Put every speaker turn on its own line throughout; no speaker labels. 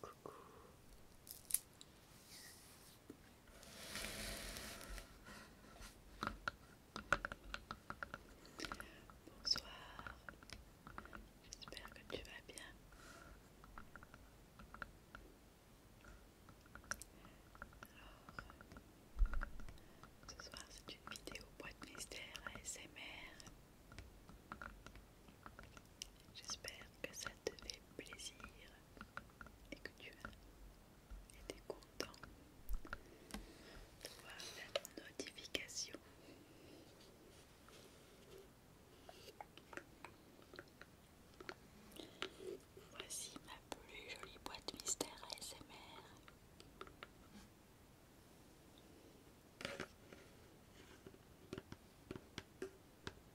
Coucou. Bonsoir. J'espère que tu vas bien. Alors, ce soir, c'est une vidéo boîte mystère SMR. J'espère que ça te fait plaisir et que tu as été content de voir la notification. Voici ma plus jolie boîte mystère smr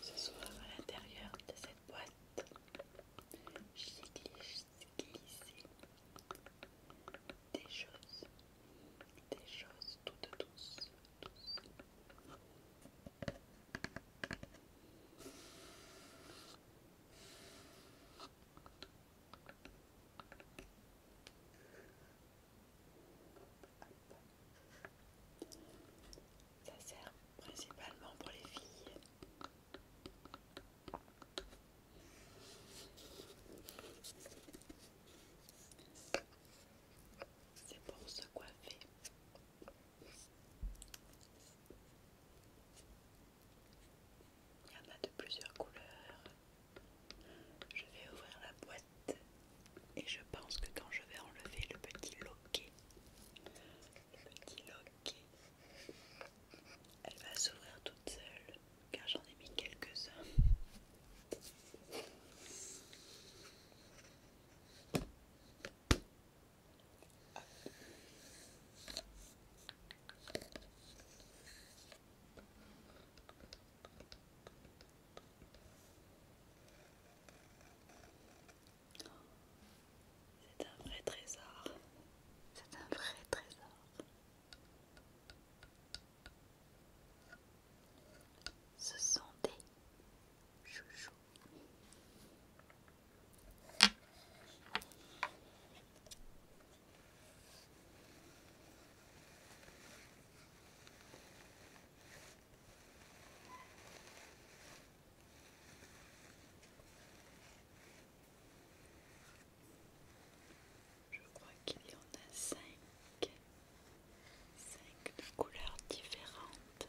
Ce soir, à l'intérieur de cette boîte, j'ai glissé des choses, des choses toutes douces. Ça sert principalement pour les filles. C'est pour se coiffer. Il y en a de plusieurs couleurs. Je vais ouvrir la boîte et je pense que quand je vais enlever le petit loquet, le petit loquet, elle va s'ouvrir toute seule car j'en ai mis quelques-uns. C'est un vrai trésor. C'est un vrai trésor. Ce sont des chouchous. Je crois qu'il y en a cinq, cinq couleurs différentes.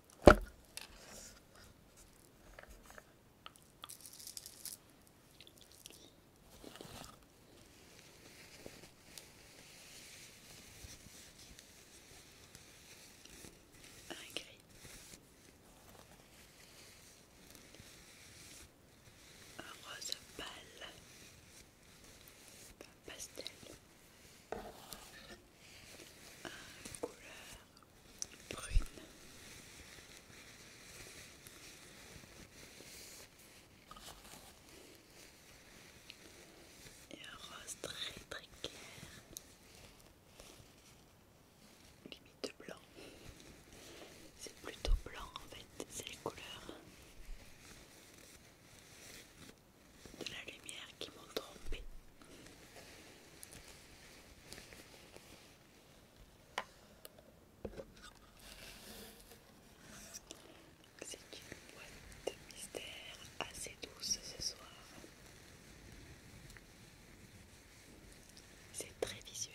Un gris. Un rose pâle. Un pastel. Un couleur brune. Et un rose très très clair, limite blanc. C'est plutôt blanc en fait, c'est les couleurs de la lumière qui m'ont trompée. C'est une boîte de mystère assez douce ce soir. C'est très visuel.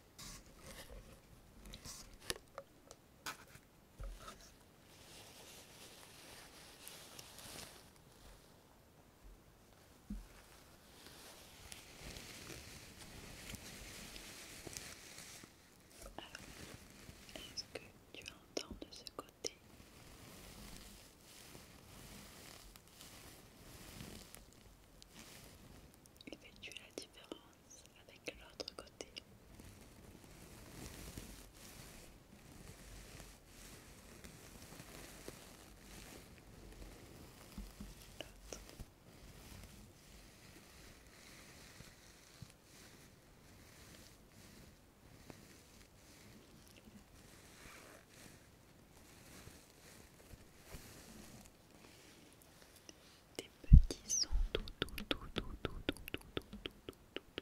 est-ce que tu entends de ce côté il Effectuez la différence avec l'autre côté. Des petits sont tout tout tout tout tout tout tout tout tout tout tout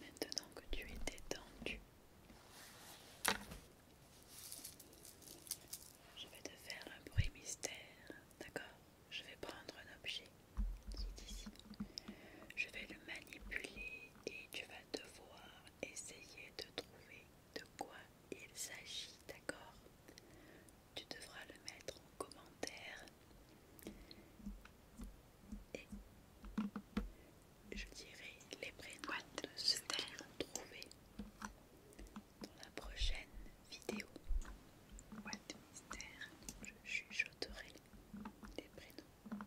maintenant que tu es détendu, je vais te faire un bruit mystère, d'accord Je vais prendre un objet qui est ici. Je vais le manipuler et tu vas devoir essayer de trouver de quoi il s'agit, d'accord Tu devras le mettre en commentaire. Et je dirai les prénoms de ceux qui trouvé dans la prochaine vidéo. Boîte mystère, je chuchoterai des prénoms.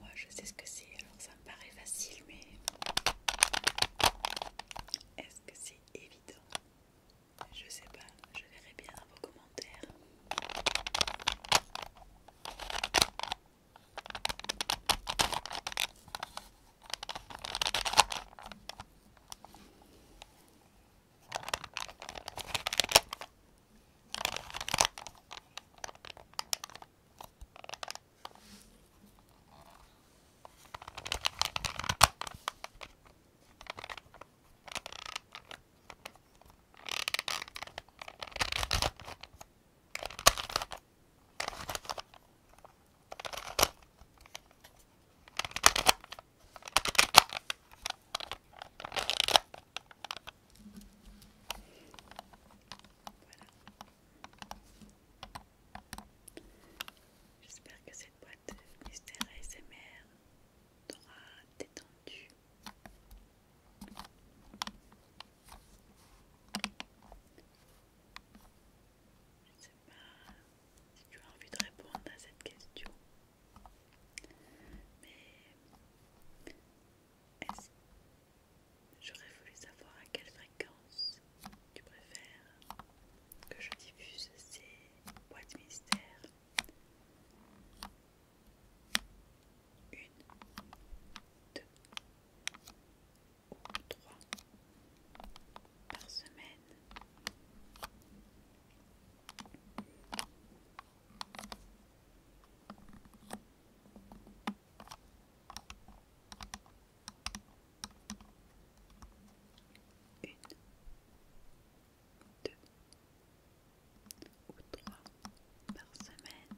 Moi je sais ce que c'est, alors ça me paraît facile, mais est-ce que c'est évident je sais pas, je verrai bien vos commentaires. J'espère que cette boîte mystère ASMR t'auras détendu. Je ne sais pas si tu as envie de répondre à cette question, mais est J'aurais voulu savoir à quelle fréquence tu préfères que je diffuse ces boîtes mystères une, deux ou trois par semaine. Une, 2 ou 3 par semaine.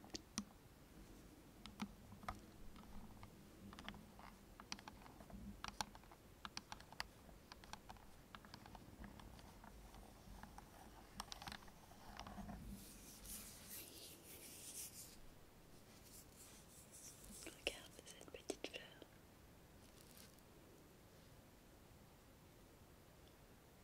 Regarde cette petite fleur la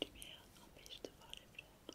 lumière empêche de voir les fleurs.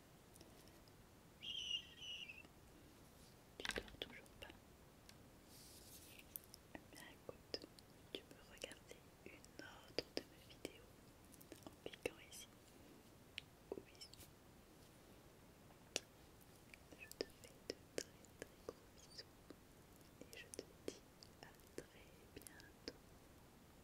Tu ne dors toujours pas Bien écoute, tu peux regarder une autre de mes vidéos en cliquant ici Je te fais de très très gros bisous et je te dis à très bientôt.